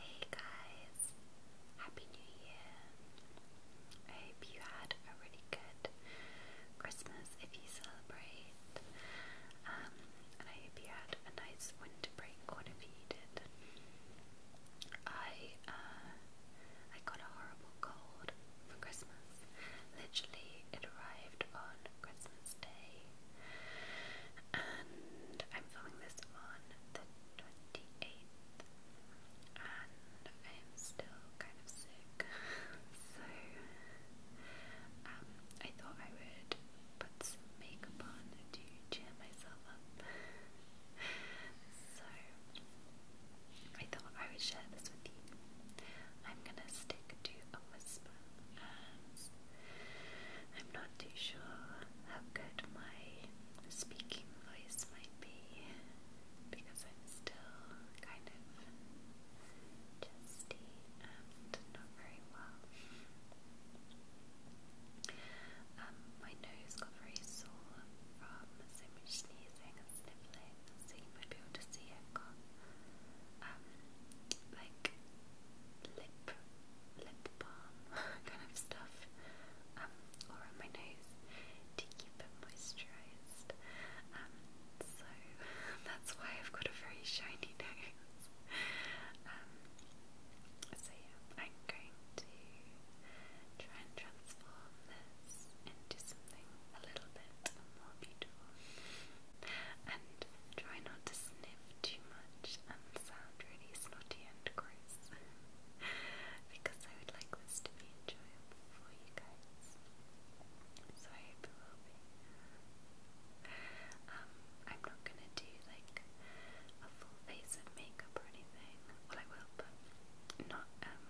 Hey guys, Happy New Year! I hope you had a really good Christmas if you celebrate, um, and I hope you had a nice winter break, whatever you did. I, uh, I got a horrible cold for Christmas. Literally, it arrived on Christmas Day and I'm filming this on the 28th, and I am still kind of sick, so um, I thought I would put makeup on to cheer myself up, so I thought I would share this with you. I'm gonna stick to a whisper as I'm not too sure how good my speaking voice might be because I'm still kind of chesty and not very well. Um, my nose got very sore from so much sneezing and sniffling, so you might able to see I've um, like lip lip balm kind of stuff um, or on my nose to keep it moisturised. Um, so that's why I've got a very shiny nose. Um, I'm going to try and transform this into something a little bit more beautiful. And try not to sniff too much and sound really snotty and gross. because I would like this to be enjoyable for you guys. So I hope it will be. Um, I'm not gonna do like a full face of makeup or anything. Well, I will, but not, um,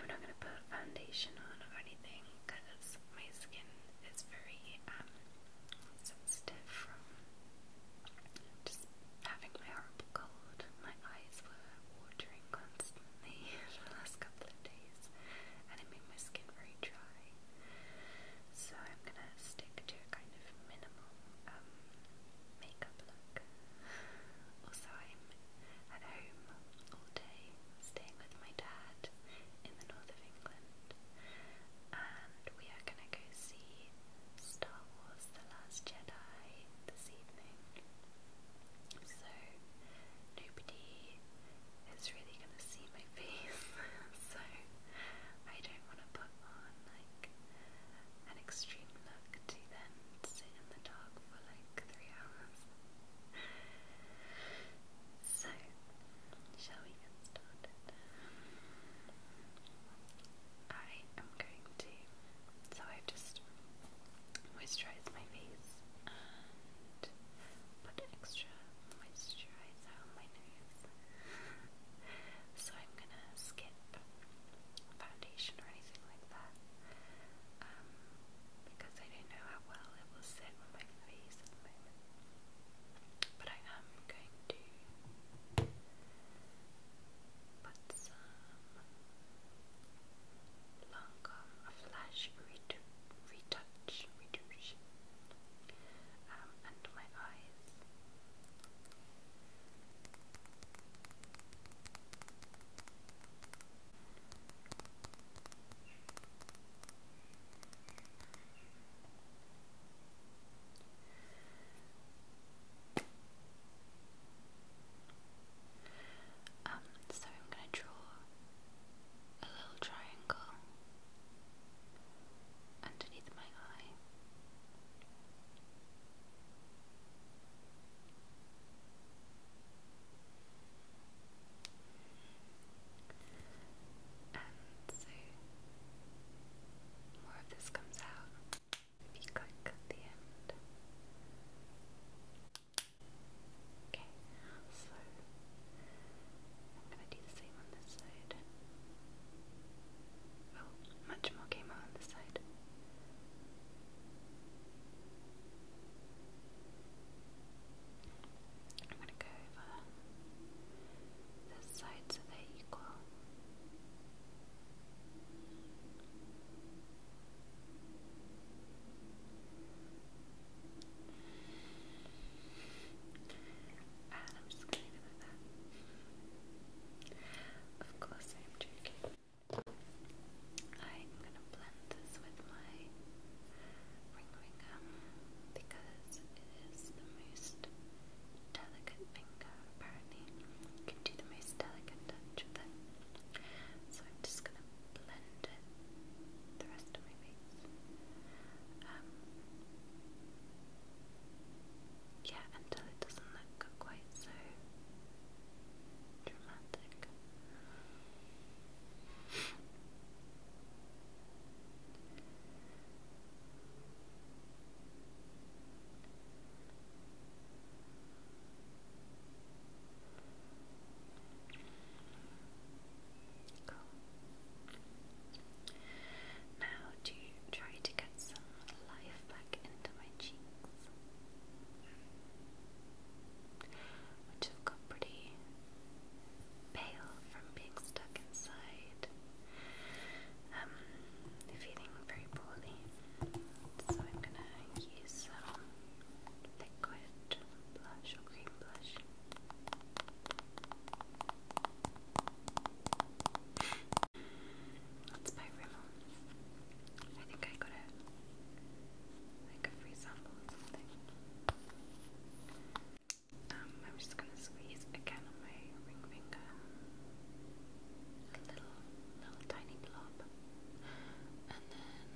I'm not gonna put foundation on or anything because my skin is very um, sensitive from just having my horrible cold. My eyes were watering constantly for the last couple of days, and it made my skin very dry. So I'm gonna stick to a kind of minimal um, makeup look. Also, I'm at home all day staying with my dad in the north of England, and we are going to go see Star Wars The Last Jedi this evening. So, nobody is really going to see my face, so I don't want to put on like an extreme look to then sit in the dark for like three hours. So, shall we get started? I am going to. So, I've just moisturised my face and put extra moisturiser on my nose. so, I'm gonna skip foundation or anything like that um, because I don't know how well it will sit on my face at the moment. But I am going to put some Lancome Flash Retouch Retouch under um, my eyes. Um, so I'm going to draw a little triangle underneath my eye. And so more of this comes out if you click at the end. Okay, so I'm going to do the same on this side. Oh, much more came out on this side. I'm going to go over this side so they equal. And I'm just going to Of course, I'm joking. I'm going to blend this with my ring finger because it is the most delicate finger. Apparently, you can do the most delicate touch with So I'm just gonna blend it the rest of my face. yeah, until it doesn't look quite so dramatic. Cool. Now to try to get some life back into my cheeks, which have got pretty pale from being stuck inside, um, feeling very poorly. So I'm gonna use some liquid blush or cream blush. That's by Rimmel. I think I got it like a free sample or something. Um, I'm just gonna squeeze again on my ring finger. A little, little tiny blob. And then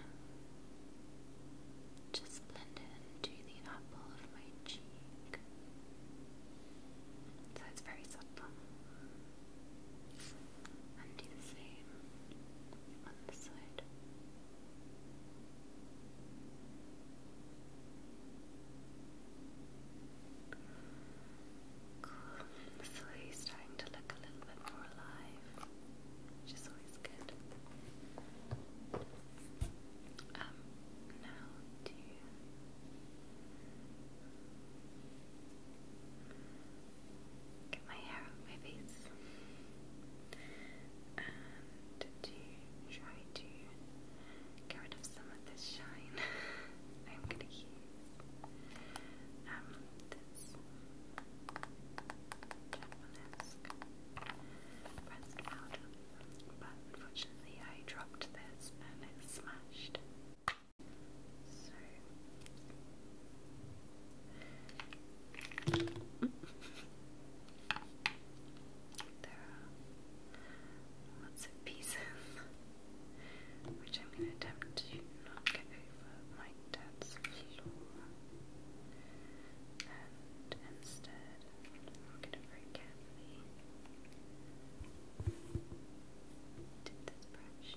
just blend it into the apple of my cheek. So it's very subtle. And do the same on the side. Cool. The starting to look a little bit more alive, which is always good. Um, now get my hair on my face to try to get rid of some of this shine, I'm gonna use um, this but unfortunately I dropped this and it smashed. There are lots of pieces, which I'm going to attempt to not get over my dad's floor, and instead walk it very carefully. Dip this brush.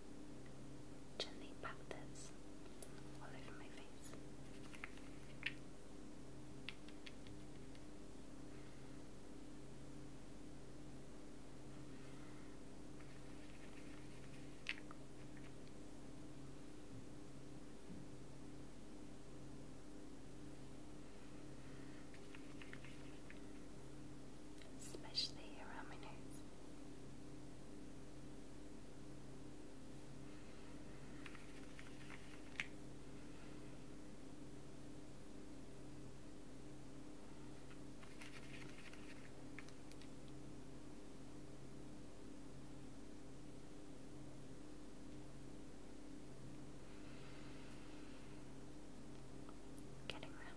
Gently pat this all over my face especially around my nose getting around.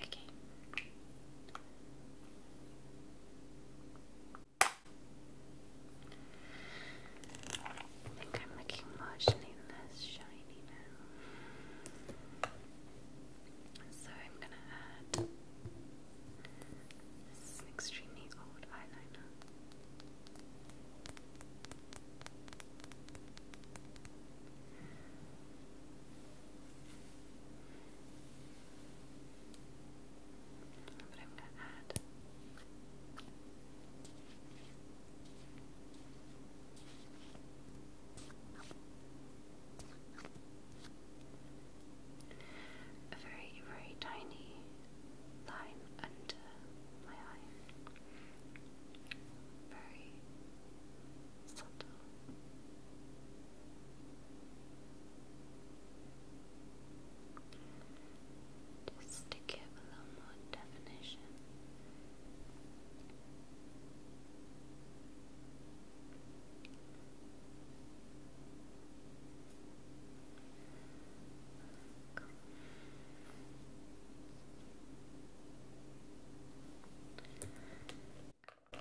Okay. I think I'm looking marginally less shiny now. So I'm gonna add this is an extremely old eyeliner. But I'm gonna add a very, very tiny line under my eye. Very subtle. Just to give a little more definition.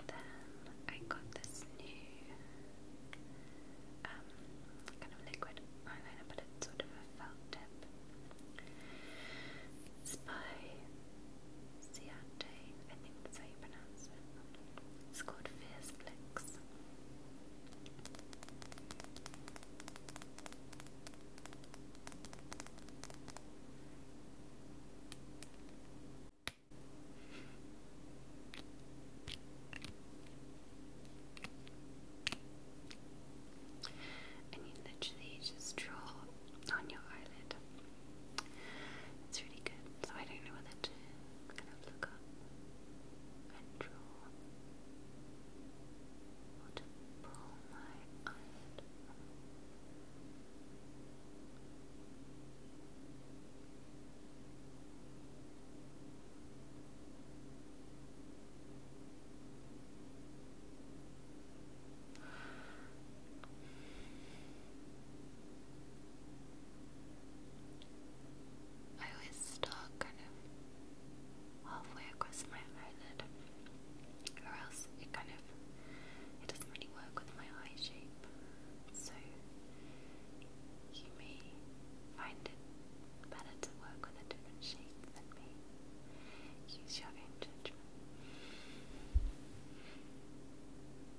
Then I got this new um, kind of liquid eyeliner, but it's sort of a felt tip. It's it's called Fierce Flicks. And you literally just draw on your eyelid. It's really good, so I don't know whether to kind of look up and draw or to pull my eyelid I always start kind of halfway across my eyelid, or else it kind of it doesn't really work with my eye shape. So you may find it better to work with a different shape than me. Use your own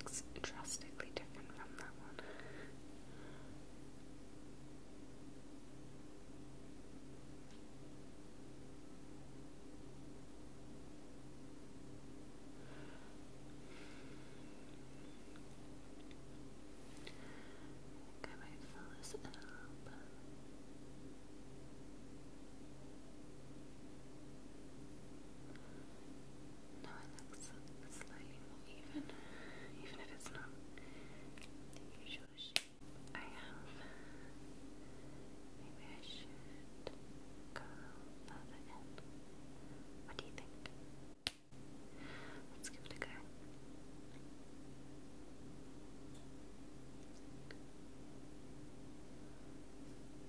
Looks drastically different from that one. I might fill this up. Now it looks slightly more even, even if it's not the usual shape I have. Maybe I should go further in. What do you think? Let's give it a go.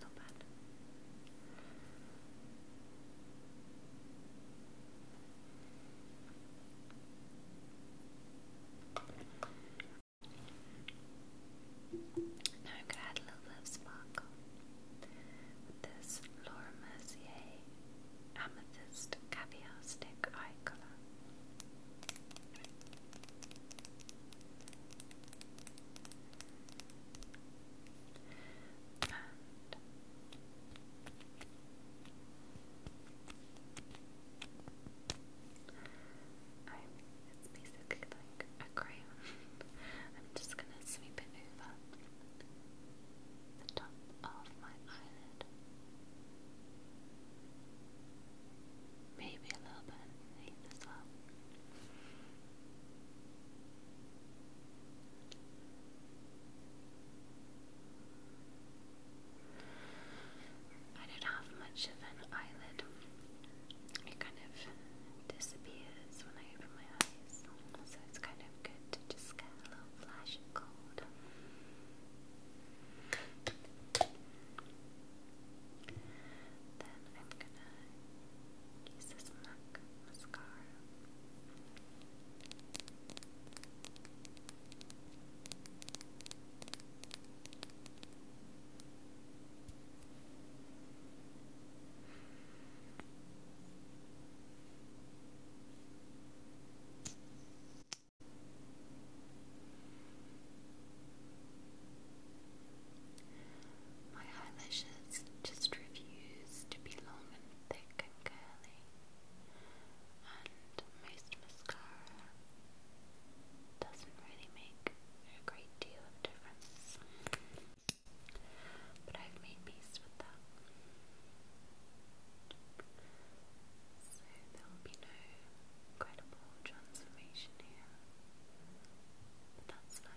Not bad. Now sparkle this Laura Mercier Amethyst Caviar Stick Eye Colour. And I I'm just gonna sweep it over the top of my eyelid maybe a little bit I don't have much of an eyelid. It kind of disappears when I open my eyes, so it's kind of good to just get a little flash of gold. Then I'm gonna use this MAC mascara. My eyelashes just refuse to be long and thick and curly, and most mascara doesn't really make a great deal of difference. But I've made peace with that. So there will be no incredible transformation here. that's fine.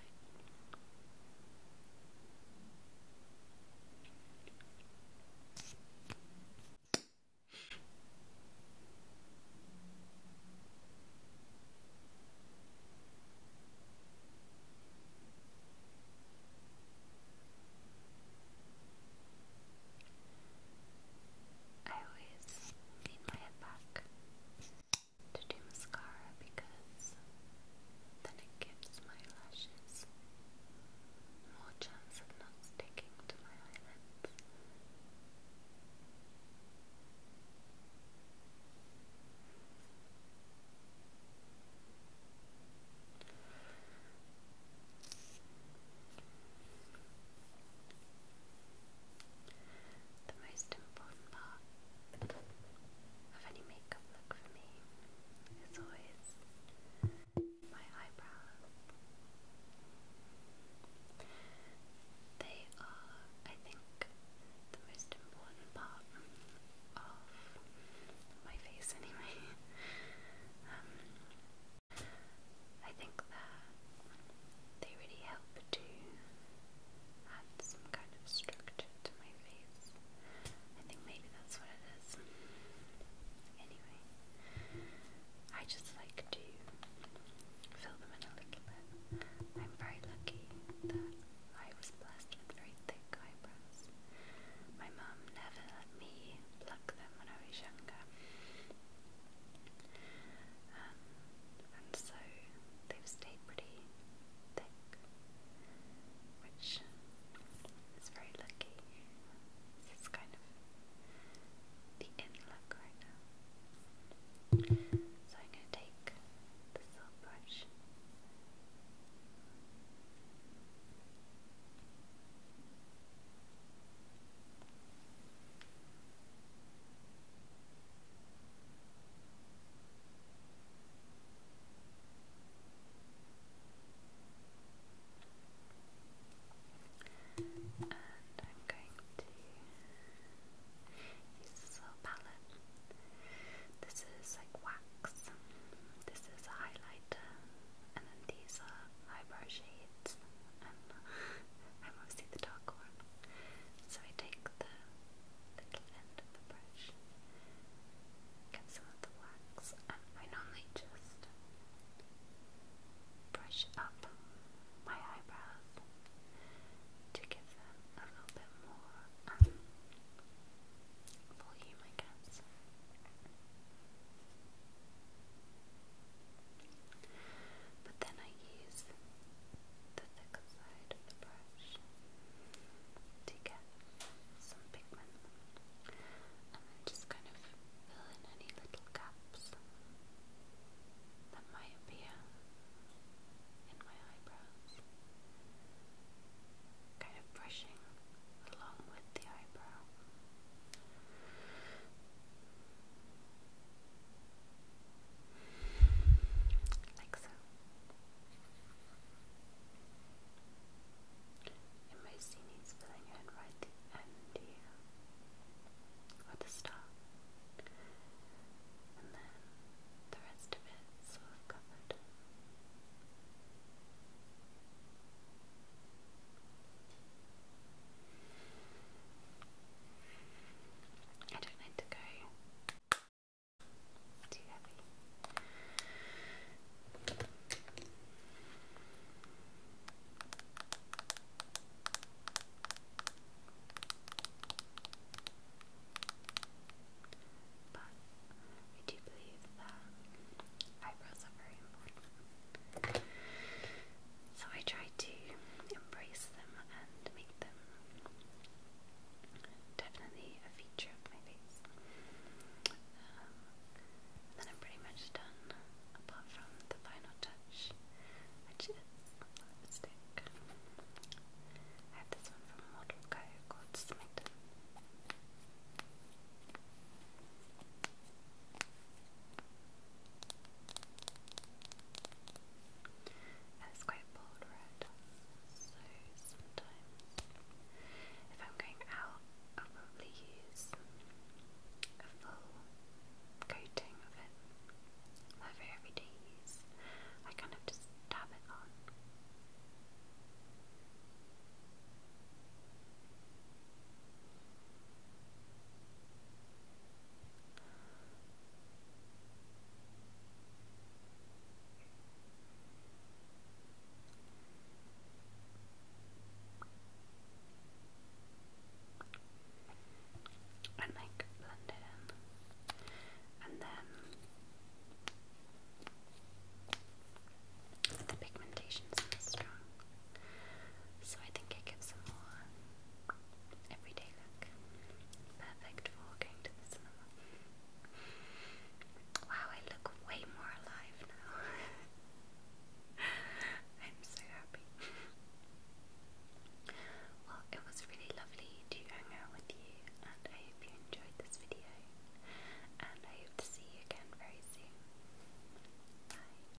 I always need my head back to do mascara because then it gives my lashes more chance of not sticking to my eyelids. The most important part of any makeup look for me is always my eyebrows. They are, I think, the most important part of my face, anyway. Um, I think that they really help to add some kind of structure to my face. I think maybe that's what it is. Anyway, I just like to fill them in a little bit. I'm very lucky that I was blessed with very thick eyebrows. My mom never let me pluck them when I was younger. Um, and so they've stayed pretty thick, which is very lucky. This is kind of the in look right now. So I'm going to take the silk brush. And I'm going to use this little palette. This is like wax, this is a highlighter, and then these are eyebrow shades. I'm the dark one. So I take the little end of the brush, get some of the wax, and I normally just brush up my eyebrows to give them a little bit more um, volume, I guess. But then I use the thicker side of the brush to get some pigment and then just kind of fill in any little gaps that might appear in my eyebrows. Kind of brushing along with the eyebrow. Like so. It mostly needs filling in right the end here. Or the start. And then the rest of it sort covered. I don't need to go too heavy. But I do believe that eyebrows are very important. So I try to embrace them and make them definitely a feature of my face. Um, then I'm pretty much done, apart from the final touch, which is lipstick. I have this one from Model Co called Smitten. And it's quite bold red, so sometimes if I'm going out, I'll probably use a full coating of it. My every day use, I kind of just dab it on and like blend it in and then the pigmentation is strong so I think it gives a more everyday look. Perfect for going to the cinema. Wow, I look way more alive now. I'm so happy. Well, it was really lovely to hang out with you, and I hope you enjoyed this video. And I hope to see you again very soon. Bye.